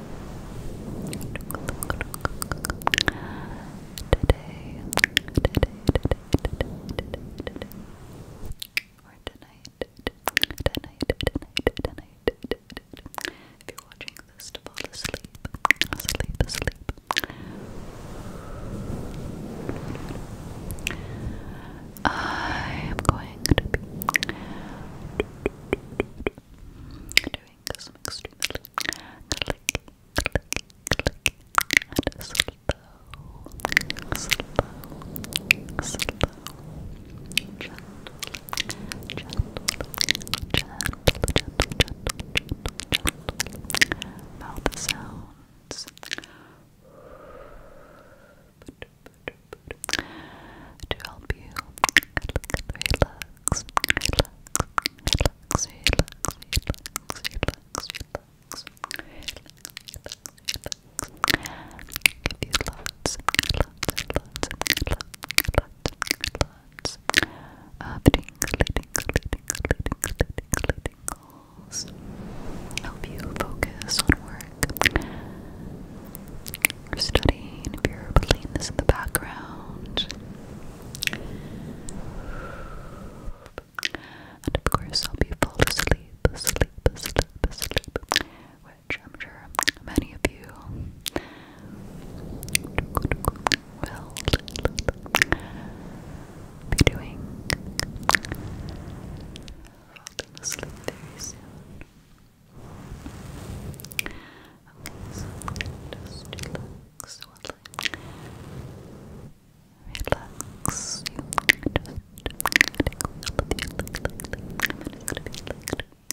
Today, tonight, tonight, tonight, tonight, tonight. If you're watching this to fall asleep, asleep, asleep. I am going to be fingers are extremely clicky, clicky, clicky, and slow, slow, slow, gentle, gentle, gentle, gentle, gentle, gentle, gentle. mouth sounds. To help you relax, relax, relax, relax, relax, relax, relax, relax. Give you lots, lots, lots, lots, lots, of tingly, tingly, tingly, tingly, tingly, tingles. Help you focus on work studying if you're playing this in the background. And of course, I'll be fall asleep, sleep, sleep, sleep, which I'm sure many of you will be doing. Falling asleep very soon. Okay, so just relax, relax. You just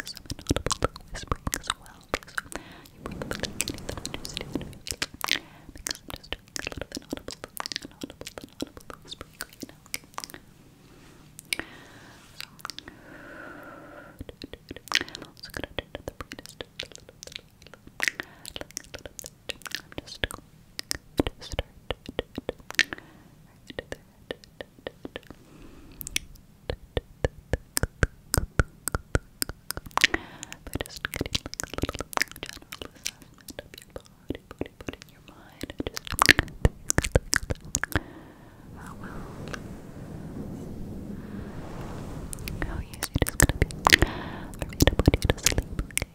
some inaudible whispering as well, so you probably can't even understand me because I'm just doing a little inaudible, inaudible, inaudible whispering right now. Okay. So, I'm also gonna do the the brightest. I'm just going to start right there. But just getting like a little general assessment of your body, body, body, your mind, and just how well how oh, easy it is gonna be for me to put you to sleep, okay?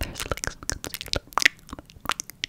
There's like some concealer.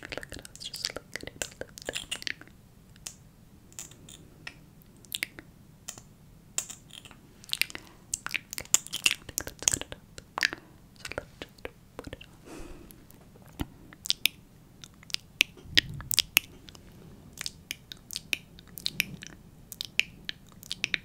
Look at us, just look at it. Look at it. Okay, I think that's good enough. So let's just put it on. Okay,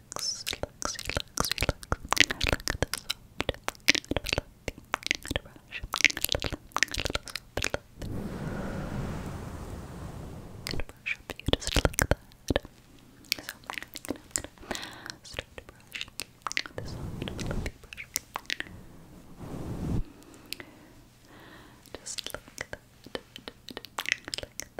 relax, relax, relax, relax. I like the soft, fluffy brush. Soft, Gonna brush up you just like that. So I'm gonna, I'm gonna start to brush the soft, fluffy brush. Just like that. Like that. Like that. Like that.